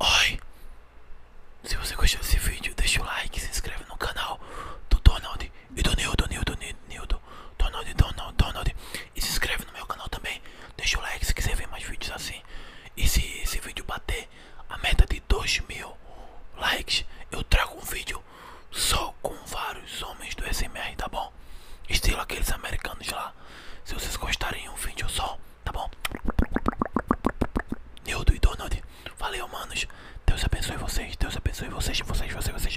Oi! Se você gostou desse vídeo, deixa o like, se inscreve no canal do Donald e do Nildo, Nildo, Nildo, Donald, Donald, Donald. E se inscreve no meu canal também. Deixa o like se quiser ver mais vídeos assim. E se esse vídeo bater a meta de 2 mil likes, eu trago um vídeo só com vários homens do SMR, tá bom? Estilo aqueles americanos lá. Se vocês gostarem um vídeo só tá bom? Nildo e Donald, valeu, manos. Deus abençoe vocês, Deus abençoe vocês, vocês, vocês, vocês.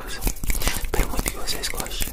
novos. Espero muito que vocês gostem.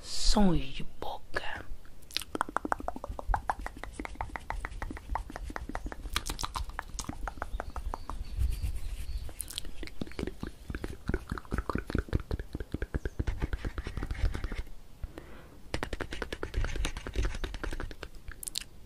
Sou de boca.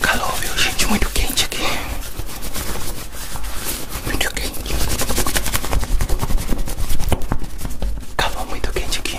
Calou, viu, gente? Muito quente aqui. Muito quente. Calou muito quente aqui.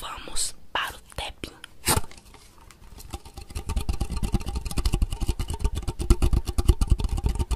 Vamos para o tapping.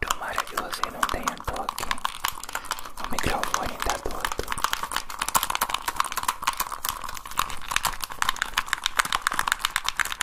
Tomara que você não tenha toque. O microfone tá todo.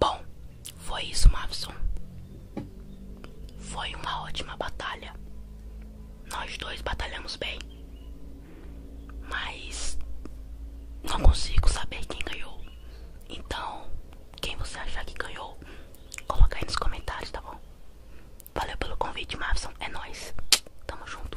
Bom, foi isso, Mavson. Foi uma ótima batalha. Nós dois batalhamos bem. Mas não consigo saber quem ganhou. Então, quem você achar que ganhou, coloca aí nos comentários, tá bom? Valeu pelo convite, Mavson. É nóis. Tamo junto.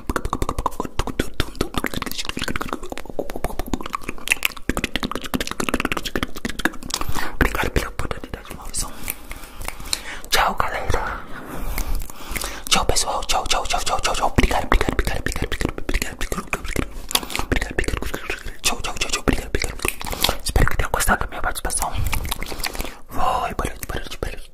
Obrigado por oportunidade, maldição. Tchau, galera. Tchau, pessoal. Tchau, tchau, tchau, tchau, tchau, tchau. Obrigado, obrigado, obrigado, obrigado, obrigado, obrigado, obrigado. Obrigado, obrigado. Tchau, tchau, tchau, tchau. Obrigado, obrigado. Espero que tenham gostado da minha participação. Foi, barulho, barulho, barulho.